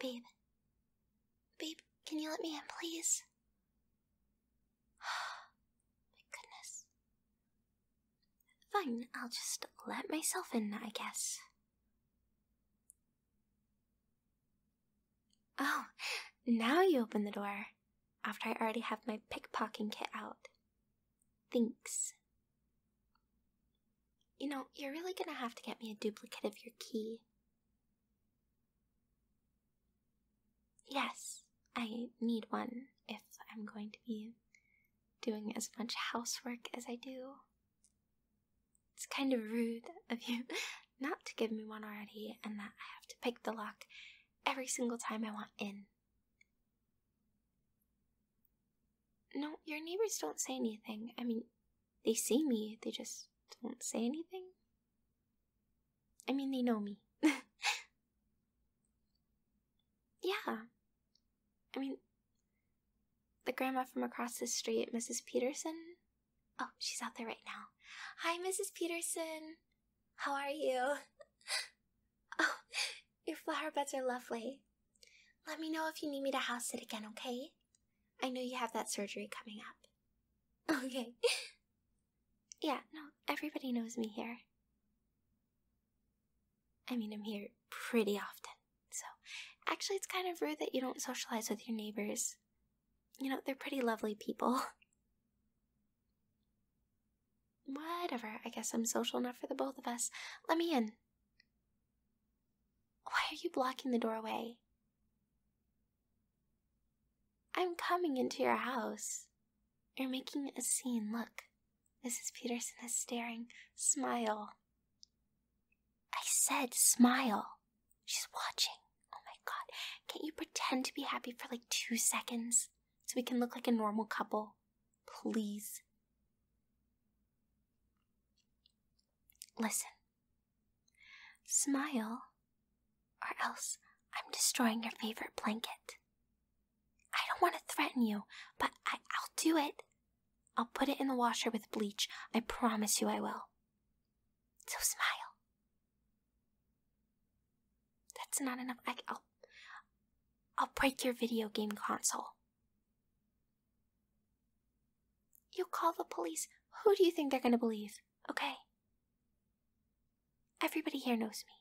Babe. Babe, can you let me in, please? My goodness. Fine, I'll just let myself in, I guess. Oh, now you open the door. After I already have my pickpocketing kit out. Thanks, you know, you're really gonna have to get me a duplicate of your key. Yes, I need one if I'm going to be doing as much housework as I do. It's kind of rude of you not to give me one already, and that I have to pick the lock every single time I want in. No, your neighbors don't say anything. I mean, they see me, they just don't say anything. I mean, they know me. yeah. I mean, the grandma from across the street, Mrs. Peterson. Oh, she's out there right now. Hi, Mrs. Peterson. How are you? Oh, your flower beds are lovely. Let me know if you need me to house sit again, okay? I know you have that surgery coming up. Okay. yeah, no, everybody knows me here. I mean, I'm here pretty often, so actually, it's kind of rude that you don't socialize with your neighbors. You know, they're pretty lovely people. Whatever, I guess I'm social enough for the both of us. Let me in. Why are you blocking the doorway? I'm coming into your house. You're making a scene, look. Mrs. Peterson is staring. Smile. I said smile. She's watching. Oh my god. Can't you pretend to be happy for like two seconds so we can look like a normal couple? Please. Listen. Smile, or else I'm destroying your favorite blanket. I don't want to threaten you, but I, will do it. I'll put it in the washer with bleach. I promise you I will. So smile. That's not enough. I, will I'll, break your video game console. You will call the police. Who do you think they're gonna believe? Okay? Everybody here knows me.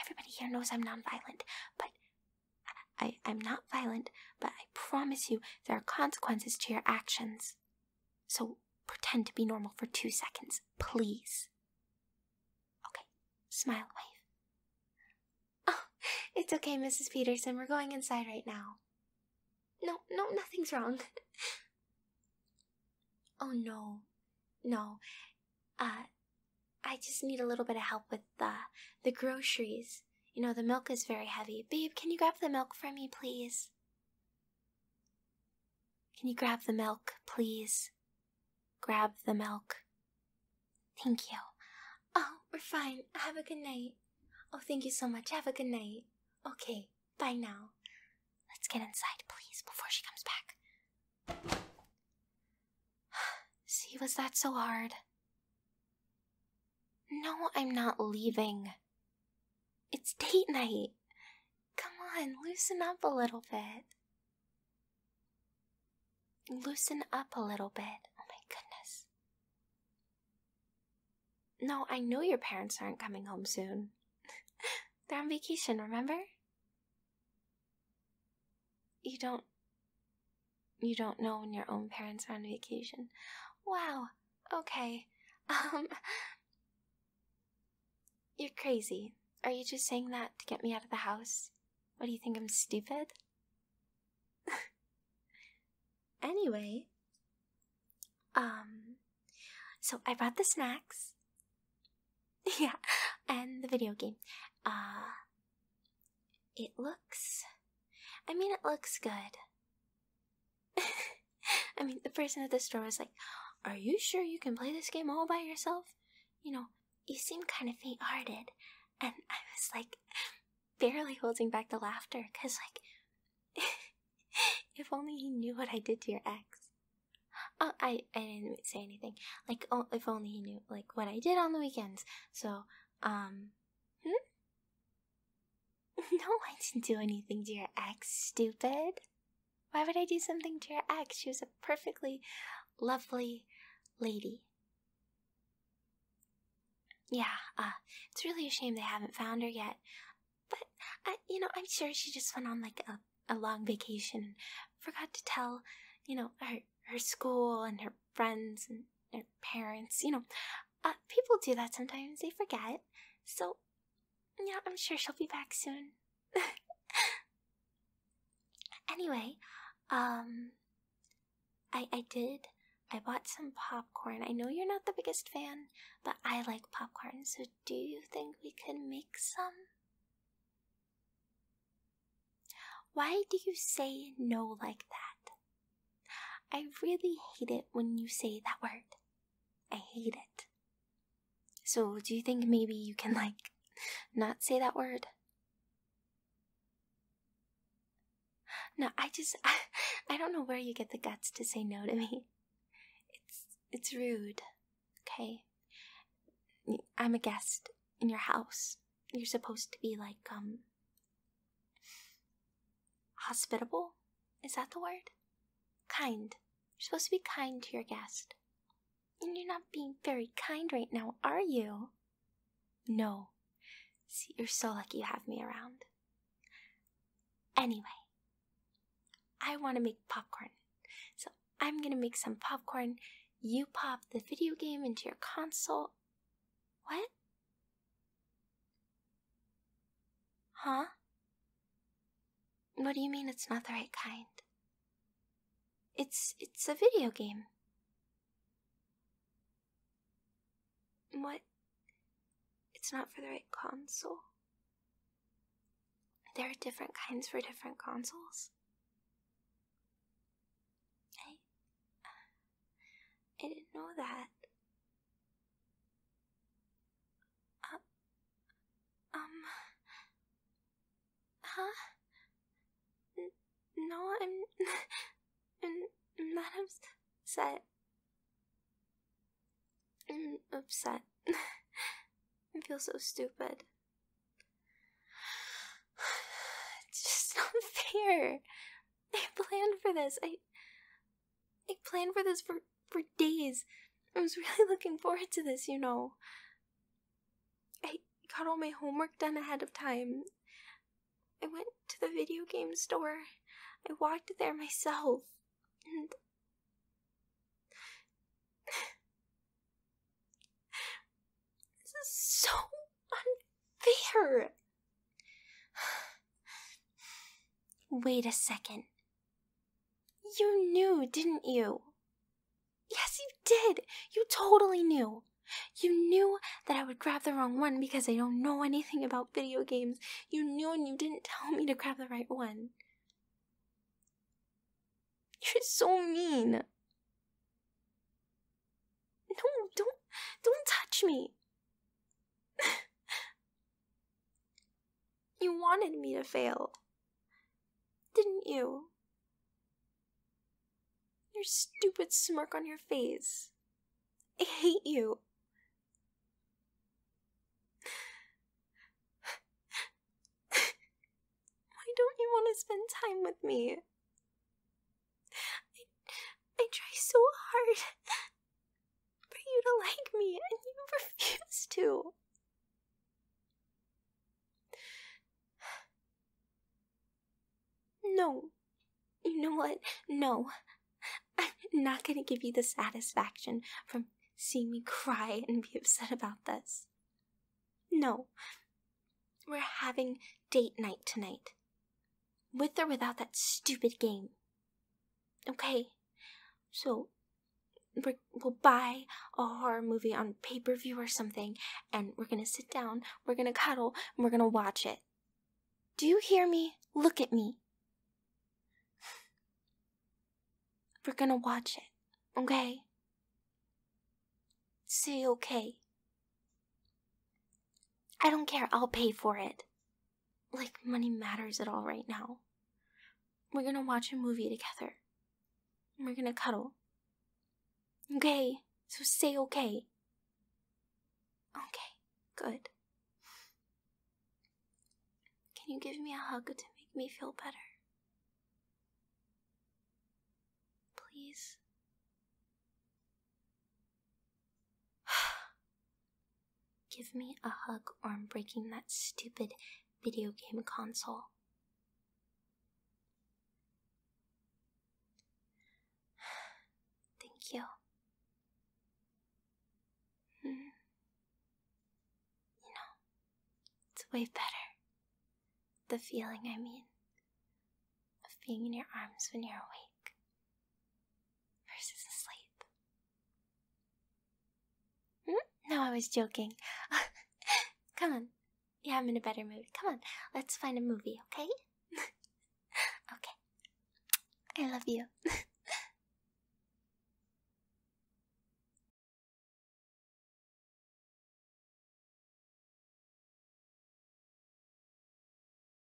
Everybody here knows I'm nonviolent, but I'm not violent, but I promise you there are consequences to your actions. So pretend to be normal for two seconds, please. Okay, smile, wave. Oh, it's okay, Mrs. Peterson. We're going inside right now. No, no, nothing's wrong. oh, no. No. Uh, I just need a little bit of help with the, the groceries. You know, the milk is very heavy. Babe, can you grab the milk for me, please? Can you grab the milk, please? Grab the milk. Thank you. Oh, we're fine. Have a good night. Oh, thank you so much. Have a good night. Okay, bye now. Let's get inside, please, before she comes back. See, was that so hard? No, I'm not leaving. It's date night. Come on, loosen up a little bit. Loosen up a little bit. Oh my goodness. No, I know your parents aren't coming home soon. They're on vacation, remember? You don't. You don't know when your own parents are on vacation. Wow. Okay. Um. You're crazy. Are you just saying that to get me out of the house? What do you think I'm stupid? anyway, um, so I brought the snacks. yeah, and the video game. Uh, it looks. I mean, it looks good. I mean, the person at the store was like, are you sure you can play this game all by yourself? You know, you seem kind of faint hearted. And I was like, barely holding back the laughter because, like, if only he knew what I did to your ex. Oh, I, I didn't say anything. Like, oh, if only he knew, like, what I did on the weekends. So, um, hmm? no, I didn't do anything to your ex, stupid. Why would I do something to your ex? She was a perfectly lovely lady. Yeah, uh, it's really a shame they haven't found her yet. But, you know, I'm sure she just went on like a, a long vacation and forgot to tell, you know, her, her school and her friends and her parents. You know, uh, people do that sometimes, they forget. So, yeah, I'm sure she'll be back soon. anyway, um, I I did. I bought some popcorn. I know you're not the biggest fan, but I like popcorn. So do you think we could make some? Why do you say no like that? I really hate it when you say that word. I hate it. So, do you think maybe you can, like, not say that word? No, I just, I, I don't know where you get the guts to say no to me. It's, it's rude, okay? I'm a guest in your house. You're supposed to be, like, um, hospitable? Is that the word? Kind. You're supposed to be kind to your guest. And you're not being very kind right now, are you? No. See, you're so lucky you have me around. Anyway, I want to make popcorn. So I'm going to make some popcorn. You pop the video game into your console. What? Huh? What do you mean it's not the right kind? It's it's a video game. What? It's not for the right console? There are different kinds for different consoles? I. Uh, I didn't know that. Uh, um. Huh? no, I'm. I'm not upset. I'm upset. I feel so stupid. It's just not fair. I planned for this. I I planned for this for for days. I was really looking forward to this, you know. I got all my homework done ahead of time. I went to the video game store. I walked there myself. And This is so unfair. Wait a second. You knew, didn't you? Yes, you did. You totally knew. You knew that I would grab the wrong one because I don't know anything about video games. You knew and you didn't tell me to grab the right one. You're so mean. No, don't don't touch me. you wanted me to fail, didn't you? Your stupid smirk on your face. I hate you. Why don't you want to spend time with me? I, I try so hard for you to like me, and you refuse to. No. You know what? No. I'm not gonna give you the satisfaction from seeing me cry and be upset about this. No. We're having date night tonight. With or without that stupid game. Okay, so we will buy a horror movie on pay per view or something, and we're gonna sit down, we're gonna cuddle, and we're gonna watch it. Do you hear me? Look at me. We're gonna watch it, okay? Say okay. I don't care, I'll pay for it like money matters at all right now. We're gonna watch a movie together. we're gonna cuddle. Okay, so say okay. Okay, good. Can you give me a hug to make me feel better? Please. Give me a hug or I'm breaking that stupid video game console. Thank you. Hmm. You know, it's way better. The feeling, I mean, of being in your arms when you're awake versus is asleep. Hmm? No, I was joking. Come on. Yeah, I'm in a better mood. Come on, let's find a movie, okay? okay. I love you.